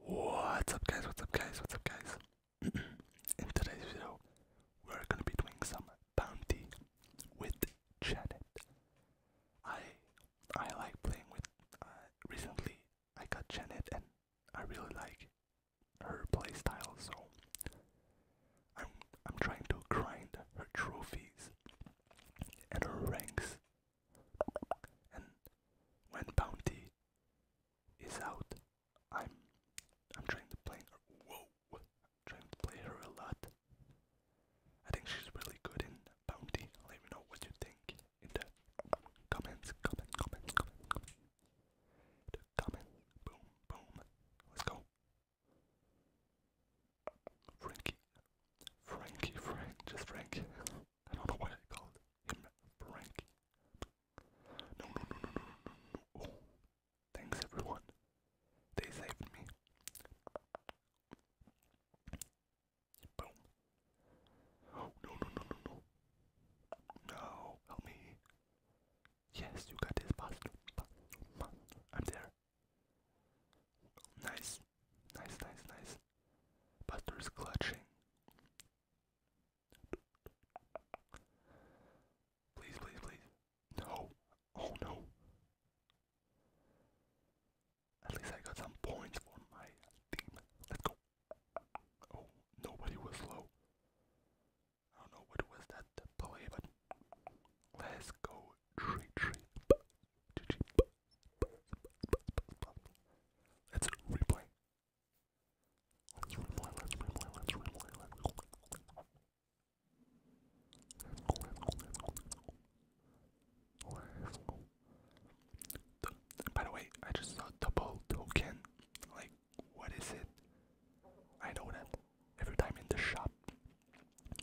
What's up guys, what's up guys, what's up guys? In today's video, we're gonna be doing some bounty with Janet. I I like playing with uh, recently I got Janet and I really like her playstyle so I'm I'm trying to grind her trophies and her ranks and when Bounty is out, I'm I'm trying to play her. Whoa, trying to play her a lot. I think she's really good in Bounty. Let me know what you think in the comments. Comment, comment, comment, comment. The comment. Boom, boom. Let's go. Frankie, Frankie, Frank, just Frank. I don't know why I called him Frankie. No, no, no, no, no, no, no. Oh, thanks everyone. They saved me. Oh, no, no, no, no, no. No, help me. Yes, you got this, Pastor. I'm there. Nice. Nice, nice, nice but clutching. Please, please, please. No. Oh no. At least I got some points for my team. Let's go. Oh, nobody was low. I don't know what was that play, but let's go. Tree, tree. Let's replay. Let's replay, let's replay, let's replay, let's by the way, I just saw double token. Like, what is it? I know that every time in the shop,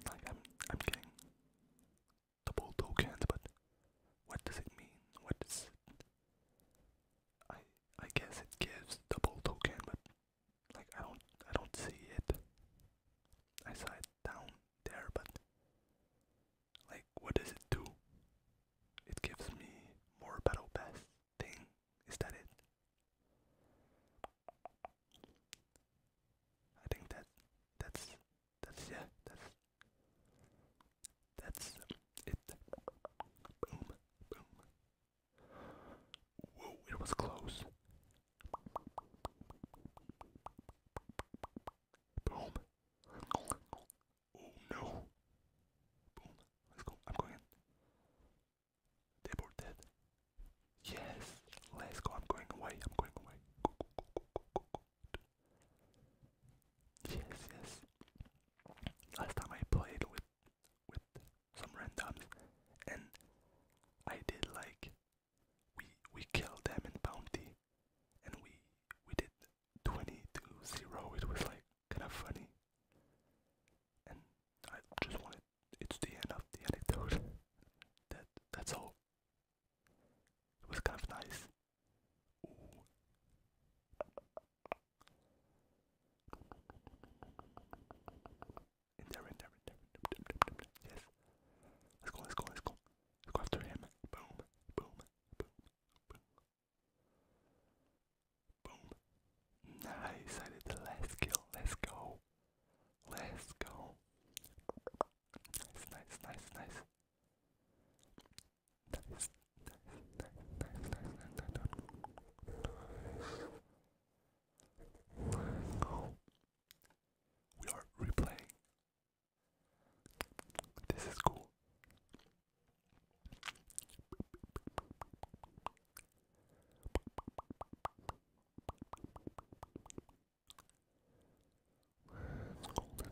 like I'm, double tokens, but what does it mean? What does it I I guess it gives double token, but like I don't I don't see it. I saw it down there, but like what does it do? It gives me more battle pass thing. Is that it? I think that that's that's yeah that's that's it. Boom, boom. Whoa, it was close. Boom. Oh no. Boom. Let's go. I'm going in. They both dead. Yes, let's go. I'm going away. I'm going away. Yes, yes. Last time I played with with some randoms, and I did like we we killed them in bounty, and we we did twenty to zero. It was like kind of funny, and I just wanted it's the end of the anecdote. that that's all. It was kind of nice. Yes. Let's go, let's go, let's go. Let's go after him. Boom, boom, boom, boom. Nice, I did the last Let's go. Let's go. Nice, nice, nice, nice. Nice, nice, nice, nice, nice, nice, nice. go. We are replaying. This is cool. Let's go, let's go, let's go, let's go.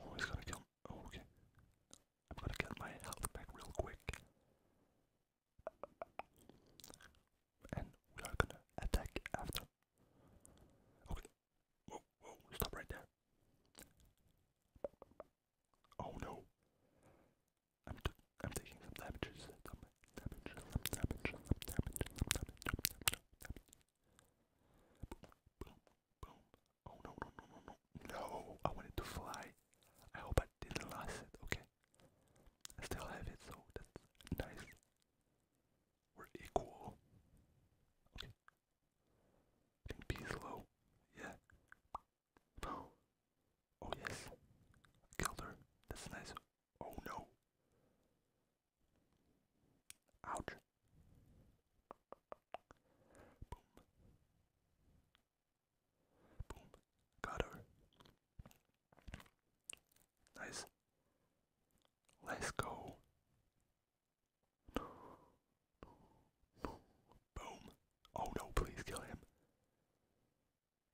Oh, he's gonna kill. Oh, okay. I'm gonna get my health back real quick and we are gonna attack after. Okay. stop right there. Oh no. I'm t I'm taking some damages. Some damage, some damage, some damage, some damage, some damage, Boom, boom, boom. Oh no, no, no, no, no. No, I wanted to fly. I hope I didn't last it, okay? I still have it, so that's nice. We're equal. Okay. B is low. Yeah. Oh. Oh yes. Killed her. That's nice. Oh no. Ouch. Boom. Boom. Got her. Nice. Let's go. Boom. Oh no, please kill him.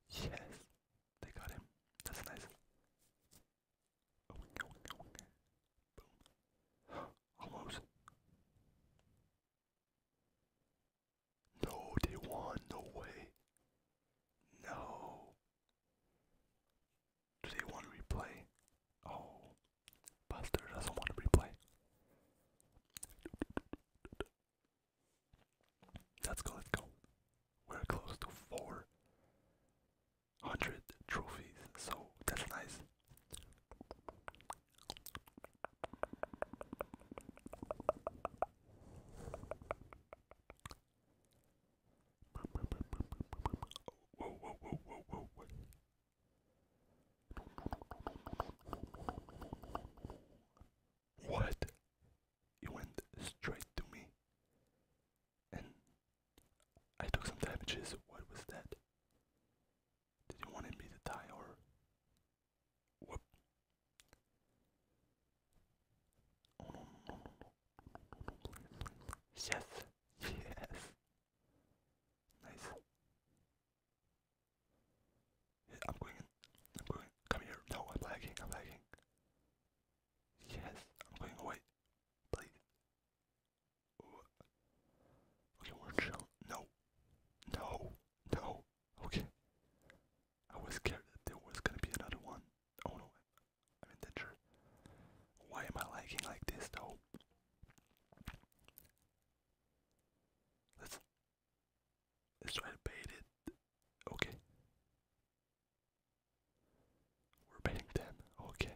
Yes. They got him. That's nice. Almost. No, they won. No way. No. Do they want replay? Oh, Buster doesn't want to replay. Let's go, let's go. We're close to 400 trophies, so that's nice. What? It went straight to me. And I took some damages. What was that? Did you wanted me to die or whoop? Oh no no no no no no please please. Yes. Yes. Nice. I'm going I'm going Come here. No, I'm lagging. I'm lagging. Yes, I'm going away. Please. Okay, we're chill. No. No. No. Okay. I was scared that there was gonna be another one. Oh no. I'm in danger. Why am I liking like this though? Let's let's try to bait it. Okay. We're baiting them. Okay.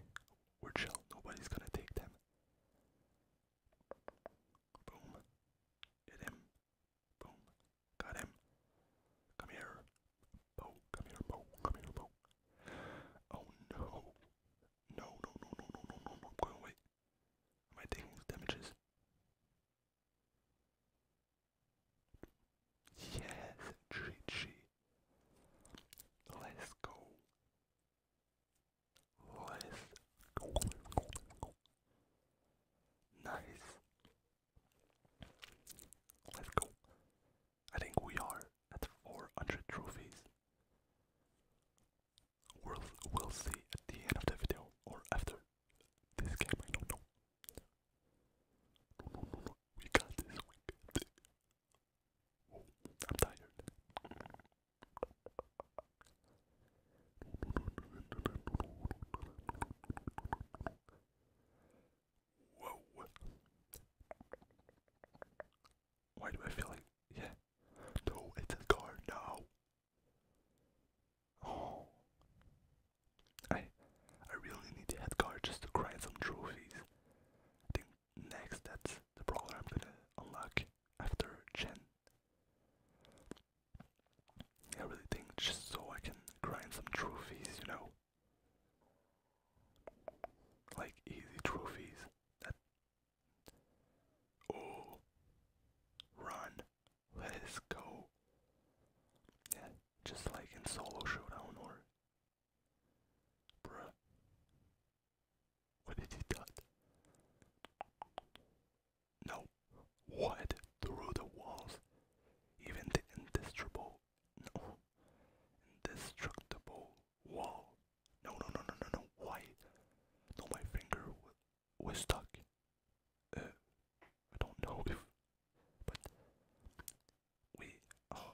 We're chill. Nobody's gonna take them. Boom. Hit him. Boom. Got him. Come here. Bo. Come here, Bo. Come here, Bo. Oh no. No, no, no, no, no, no, no, no. Go away. Am I taking damages? Yes, GG. Let's go. Nice. Let's go. I think we are at 400 trophies. We'll, we'll see at the end of the video or after this game, I don't know. No, no, no, we we got this. I'm tired. Whoa. Why do I feel like yeah? No, it's a car now. Oh I I really need that car just to grind some trophies. I think next that's the brawler I'm gonna unlock after Chen. I really think just so I can grind some trophies, you know? Like easy trophies that Oh run. Let's go. Yeah, just like in solo showdown or Bruh. What did he done? No. What? Through the walls? Even the indestructible, no, indestructible wall. No, no, no, no, no, no. Why? No, my finger was stuck. Uh, I don't know if but we oh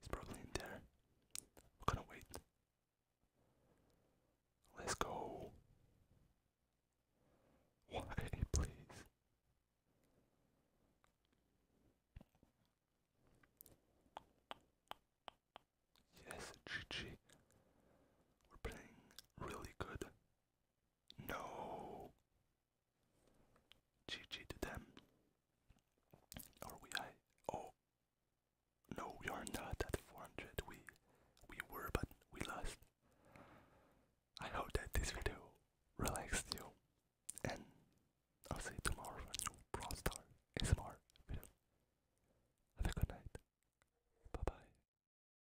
He's probably in there. We're gonna wait. Let's go. Why, please? Yes, GG. We're playing really good. No. GG to them. Are we high? Oh. No, we are not at 400. We we were, but we lost. I hope that this video relaxed you, and I'll see you tomorrow for a new pro Star ASMR video. Have a good night. Bye bye.